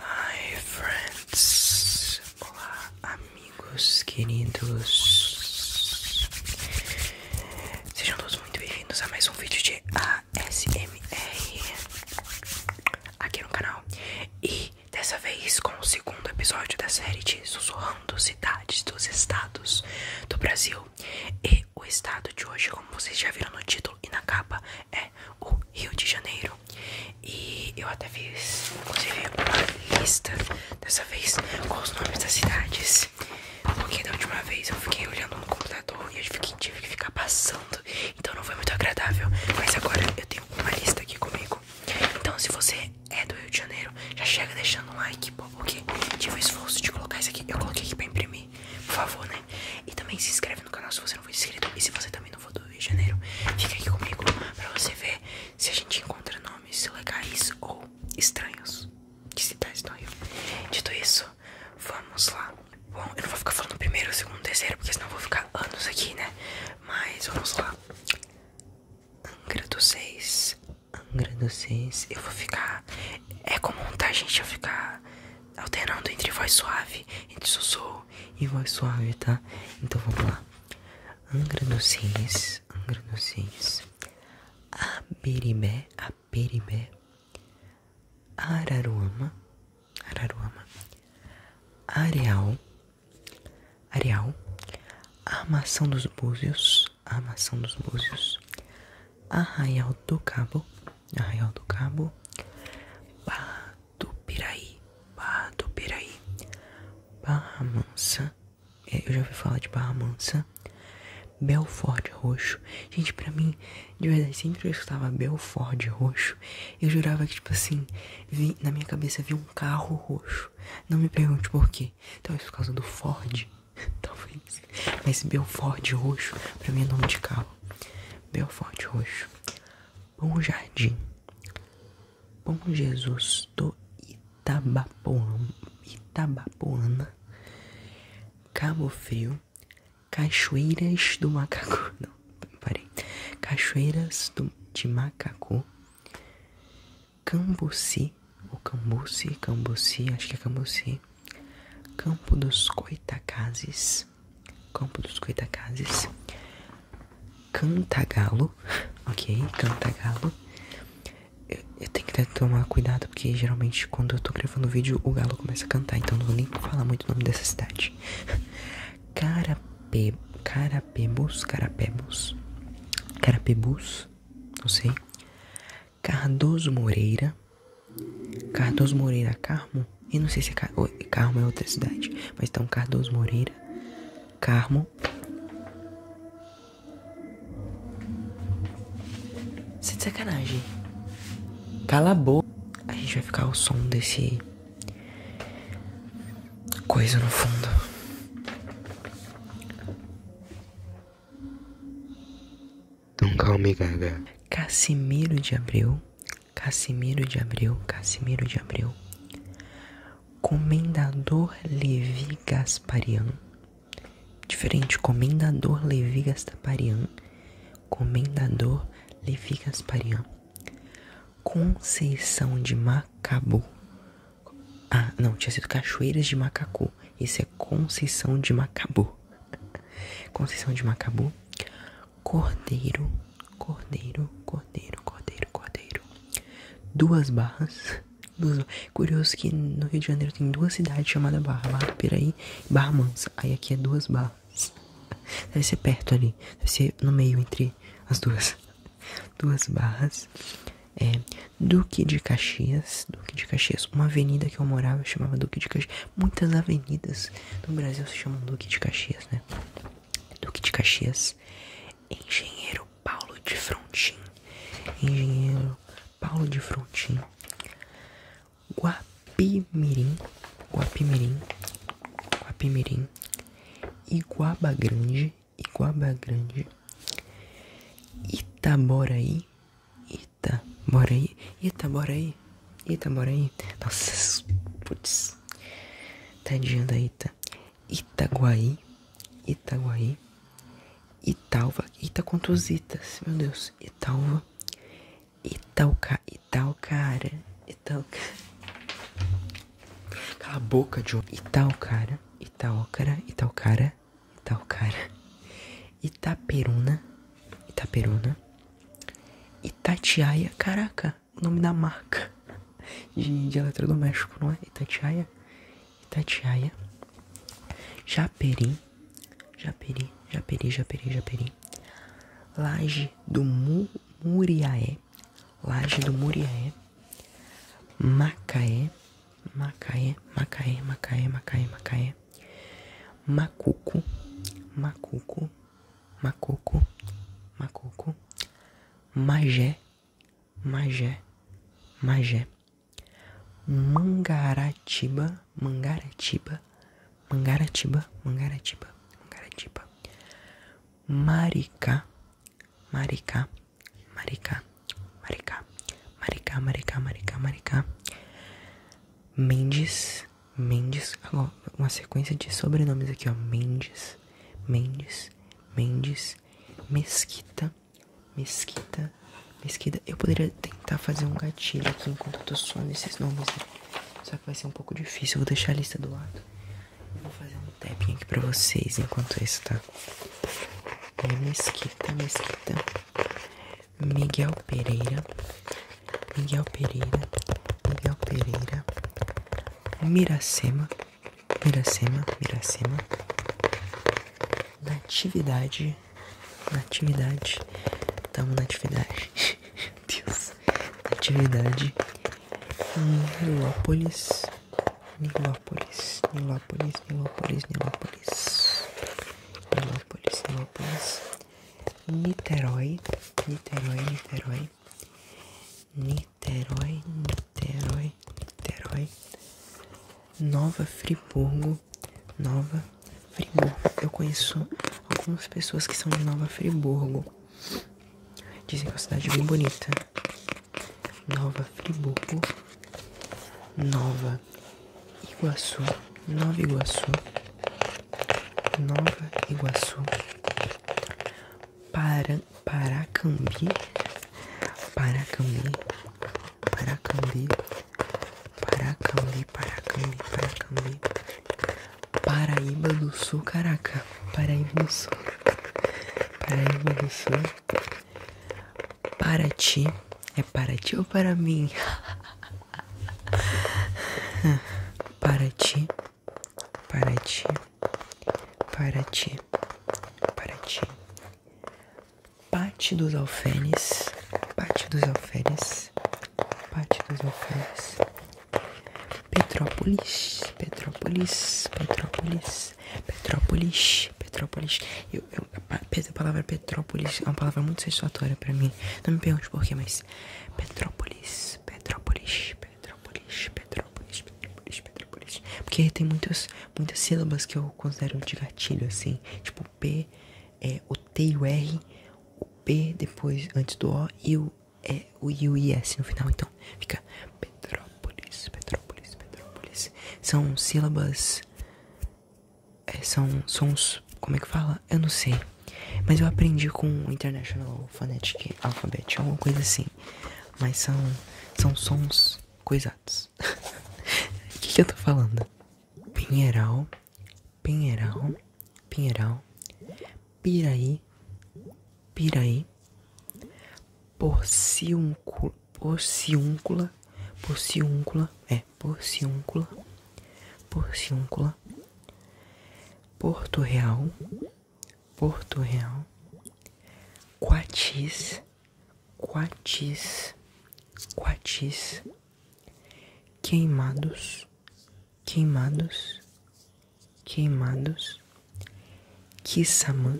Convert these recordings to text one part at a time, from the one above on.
Hi friends, olá amigos queridos, sejam todos muito bem-vindos a mais um vídeo de ASMR aqui no canal e dessa vez com o segundo episódio da série de Sussurrando Cidades dos Estados do Brasil e o estado de hoje, como vocês já viram no título e na capa, é o Rio de Janeiro. E eu até fiz, inclusive, uma lista dessa vez com os nomes das cidades. Porque da última vez eu fiquei olhando no computador e eu fiquei, tive que ficar passando. Então não foi muito agradável. Mas agora eu tenho uma lista aqui comigo. Então se você é do Rio de Janeiro, já chega deixando um like, porque tive o esforço de colocar isso aqui. Eu coloquei aqui pra imprimir. Por favor, né? Né? E também se inscreve no canal se você não for inscrito. E se você também não for do Rio de Janeiro, fique aqui comigo pra você ver se a gente encontra nomes legais ou estranhos de cidades do Rio. Dito isso, vamos lá. Bom, eu não vou ficar falando primeiro, segundo, terceiro, porque senão eu vou ficar anos aqui, né? Mas vamos lá. Angra dos Seis. Angra dos Seis. Eu vou ficar. É comum, tá, gente? Eu ficar alternando entre voz suave, entre sussurro e voz suave, tá? Então vamos lá. Angra dos Reis, Angra dos Reis, Aberibé, Aberibé, Araruama, Araruama, Areal, Areal, Armação dos Búzios, Armação dos Búzios, Arraial do Cabo, Arraial do Cabo, Barra do Piraí, Barra do Piraí, Barra Mansa, é, eu já ouvi falar de Barra Mansa, Belford Roxo. Gente, pra mim, de verdade, sempre que eu escutava Belford Roxo, eu jurava que, tipo assim, na minha cabeça vi um carro roxo. Não me pergunte por quê. Talvez por causa do Ford. Talvez. Mas Belford Roxo, pra mim é nome de carro. Belford Roxo. Bom Jardim, Bom Jesus do Itabapoana, Itabapoana Cabo Frio, Cachoeiras do Macacu, não, parei, Cachoeiras de Macacu, Cambuci, ou Cambuci, Cambuci, acho que é Cambuci, Campo dos Coitacazes, Campo dos Goitacazes, Cantagalo, ok, Cantagalo. Eu, tenho que tomar cuidado porque geralmente quando eu tô gravando o vídeo o galo começa a cantar, então não vou nem falar muito o nome dessa cidade. Carape, Carapebus, Carapebus, Carapebus, não sei. Cardoso Moreira, Cardoso Moreira, Carmo? Eu não sei se é Car... Carmo é outra cidade. Mas então Cardoso Moreira. Carmo. Você é de sacanagem. Cala a boca. A gente vai ficar o som desse. Coisa no fundo. Então calma aí, Gaga. Casimiro de Abril. Cassimiro de Abreu, Cassimiro de Abreu, Comendador Levi Gasparian, diferente, Comendador Levi Gasparian, Comendador Levi Gasparian, Conceição de Macabu, ah, não, tinha sido Cachoeiras de Macacu, Esse é Conceição de Macabu, Conceição de Macabu, cordeiro, cordeiro, cordeiro, cordeiro, cordeiro. Duas barras. Duas... Curioso que no Rio de Janeiro tem duas cidades chamadas Barra, Barra e Barra Mansa. Aí aqui é duas barras. Deve ser perto ali, deve ser no meio entre as duas. Duas barras. É, Duque de Caxias, Duque de Caxias, uma avenida que eu morava chamava Duque de Caxias, muitas avenidas no Brasil se chama Duque de Caxias, né? Duque de Caxias. Engenheiro Paulo de Frontin. Engenheiro Paulo de Frontin. Guapimirim. Guapimirim. Guapimirim. Iguaba Grande. Iguaba Grande. Itaboraí. Itaboraí. Itaboraí. Ita, bora aí. Nossa, putz. Tadinha tá da Ita. Itaguaí. Itaguaí. Itaúva, Ita quantos Meu Deus. Itaúva, Italca. Italcara. Italcara. Cala a boca, John. Italcara. Itaocara. Italcara. Italcara. Itaperuna. Itaperuna. Itatiaia. Caraca o nome da marca de, de eletrodoméstico, não é? Itatiaia, Itatiaia, Japeri, Japeri, Japeri, Japeri, Japeri, Laje do Mu, Muriaé, Laje do Muriaé, Macaé, Macaé, Macaé, Macaé, Macaé, Macaé, Macuco, Macuco, Macuco, Macuco, Magé, Magé, Magé, Mangaratiba, Mangaratiba, Mangaratiba, Mangaratiba, Mangaratiba, Maricá, Maricá, Maricá, Maricá, Maricá, Maricá, Maricá, Maricá, Mendes, Mendes, agora uma sequência de sobrenomes aqui, ó. Mendes, Mendes, Mendes, Mesquita, Mesquita, Mesquita. Eu poderia tentar fazer um gatilho aqui enquanto eu tô sonhando esses nomes. Né? Só que vai ser um pouco difícil. vou deixar a lista do lado. vou fazer um tapping aqui pra vocês enquanto isso, tá? É Mesquita, Mesquita. Miguel Pereira. Miguel Pereira, Miguel Pereira, Miracema, Miracema, Miracema, Natividade, Natividade, tamo Natividade, Deus, Natividade, Nilópolis, Nilópolis, Nilópolis, Nilópolis, Nilópolis, Nilópolis, Nilópolis, Niterói, Niterói, Niterói, Niterói, Niterói, Niterói, Nova Friburgo, Nova Friburgo. Eu conheço algumas pessoas que são de Nova Friburgo. Dizem que é uma cidade bem bonita. Nova Friburgo, Nova Iguaçu, Nova Iguaçu, Nova Iguaçu, para, Paracambi, Paracambi, Paracambi, Paracambi, Paracambi, Paracambi, Paraíba do Sul, caraca, Paraíba do Sul, Paraíba do Sul, Paraty, é para ti ou para mim? Paraty, para ti, para ti, para ti. Parte dos alfenes, parte dos alfenes, parte dos alfenes. Petrópolis, Petrópolis, Petrópolis, Petrópolis, Eu, eu, a palavra Petrópolis é uma palavra muito satisfatória para mim. Não me pergunte por porquê, mas Petrópolis, Petrópolis, Petrópolis. Petrópolis, Petrópolis, Petrópolis, Petrópolis. Porque tem muitas, muitas sílabas que eu considero de gatilho, assim. Tipo, o P, é, o T e o R, o P depois, antes do O, e o, é, o I o IS é assim no final. Então, fica Petrópolis, Petrópolis, Petrópolis. São sílabas... É, são sons... Como é que fala? Eu não sei. Mas eu aprendi com o International Phonetic Alphabet, alguma é coisa assim. Mas são, são sons coisados. O que, que eu tô falando? Pinheiral, Pinheiral, Pinheiral, Piraí, Piraí, Porciúncula, Porciúncula, Porciúncula, é, Porciúncula, Porciúncula, Porto Real, Porto Real, Quatis, Quatis, Quatis, Queimados, Queimados, Queimados, Kissamã,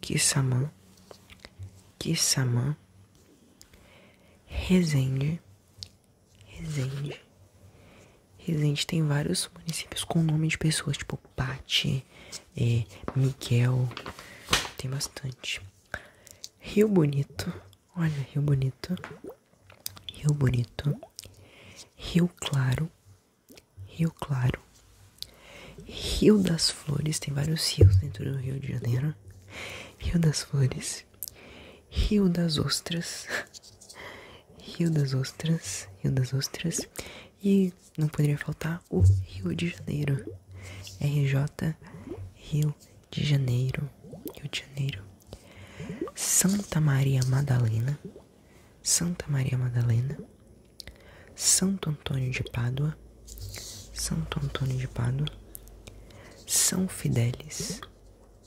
Kissamã, Kissamã, rezende Resende. Resende tem vários municípios com nome de pessoas, tipo Pati, é, Miguel. Tem bastante. Rio Bonito. Olha, Rio Bonito. Rio Bonito. Rio Claro. Rio Claro. Rio das Flores. Tem vários rios dentro do Rio de Janeiro. Rio das Flores. Rio das Ostras. Rio das Ostras, Rio das Ostras e não poderia faltar o Rio de Janeiro. RJ Rio de Janeiro, Rio de Janeiro. Santa Maria Madalena, Santa Maria Madalena. Santo Antônio de Pádua, Santo Antônio de Pádua. São Fidélis,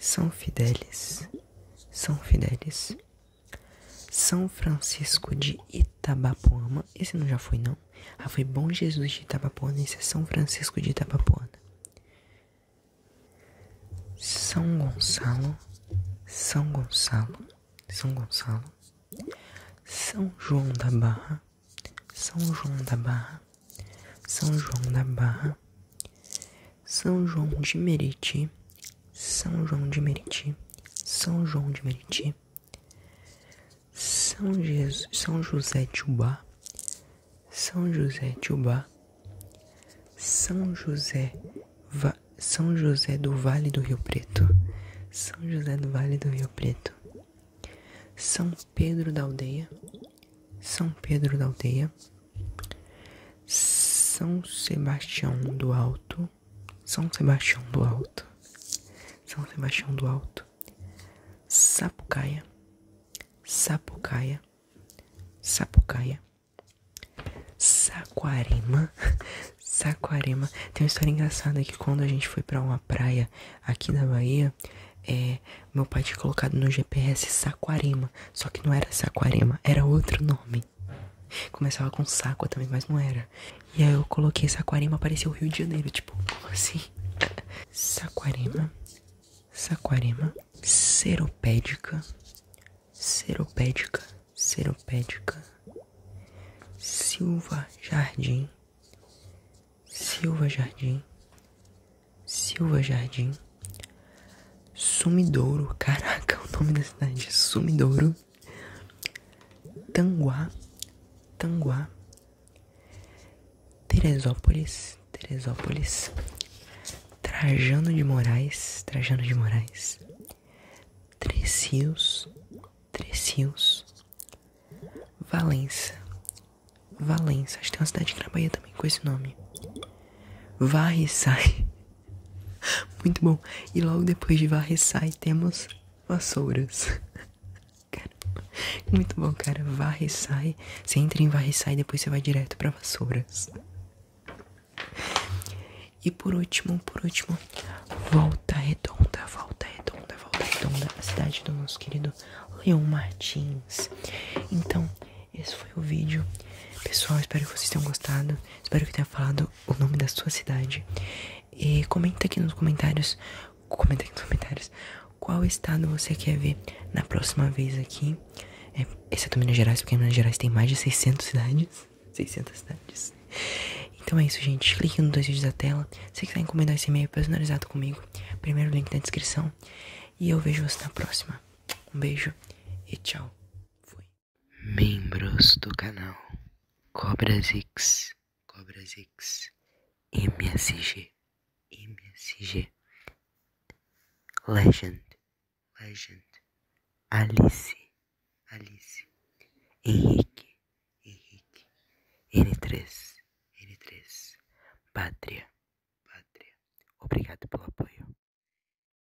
São Fidélis, São Fidélis. São Francisco de Itabapoana. Esse não já foi, não? Ah, foi Bom Jesus de Itabapoana. Esse é São Francisco de Itabapoana. São Gonçalo. São Gonçalo. São Gonçalo. São João da Barra. São João da Barra. São João da Barra. São João de Meriti, São João de Meriti, São João de Meriti, São, Jesus, São José de São José de São José, São José do Vale do Rio Preto, São José do Vale do Rio Preto, São Pedro da Aldeia, São Pedro da Aldeia. São Sebastião do Alto, São Sebastião do Alto, São Sebastião do Alto, Sapucaia, Sapucaia, Sapucaia, Saquarema, Saquarema. Tem uma história engraçada que quando a gente foi para uma praia aqui na Bahia, é, meu pai tinha colocado no GPS Saquarema, só que não era Saquarema, era outro nome. Começava com Saco também, mas não era. E aí eu coloquei Saquarema, apareceu o Rio de Janeiro. Tipo, assim? Saquarema, Saquarema, Seropédica, Seropédica, Seropédica, Silva Jardim, Silva Jardim, Silva Jardim, Sumidouro, caraca, o nome da cidade é Sumidouro, Tanguá, Tanguá, Teresópolis, Teresópolis, Trajano de Moraes, Trajano de Moraes, Três Rios, Três Rios, Valença, Valença, acho que tem uma cidade aqui na também com esse nome, Varre e Sai, Muito bom. E logo depois de sai temos vassouras. Caramba. Muito bom, cara. sai Você entra em varreçai e depois você vai direto para vassouras. E por último, por último, volta redonda, volta redonda, volta redonda, a cidade do nosso querido Leon Martins. Então, esse foi o vídeo. Pessoal, espero que vocês tenham gostado. Espero que tenha falado o nome da sua cidade. E comenta aqui nos comentários. Comenta aqui nos comentários qual estado você quer ver na próxima vez aqui. É, exceto é Minas Gerais, porque Minas Gerais tem mais de 600 cidades. 600 cidades. Então é isso, gente. Clique nos dois vídeos da tela. Se quiser encomendar esse e-mail personalizado comigo, primeiro link na descrição. E eu vejo você na próxima. Um beijo e tchau. Fui. Membros do canal Cobras X, Cobras X, MSG, MSG, Legend, Legend, Alice, Alice, Henrique, Henrique, N3, N3, Pátria, Pátria. Obrigado pelo apoio.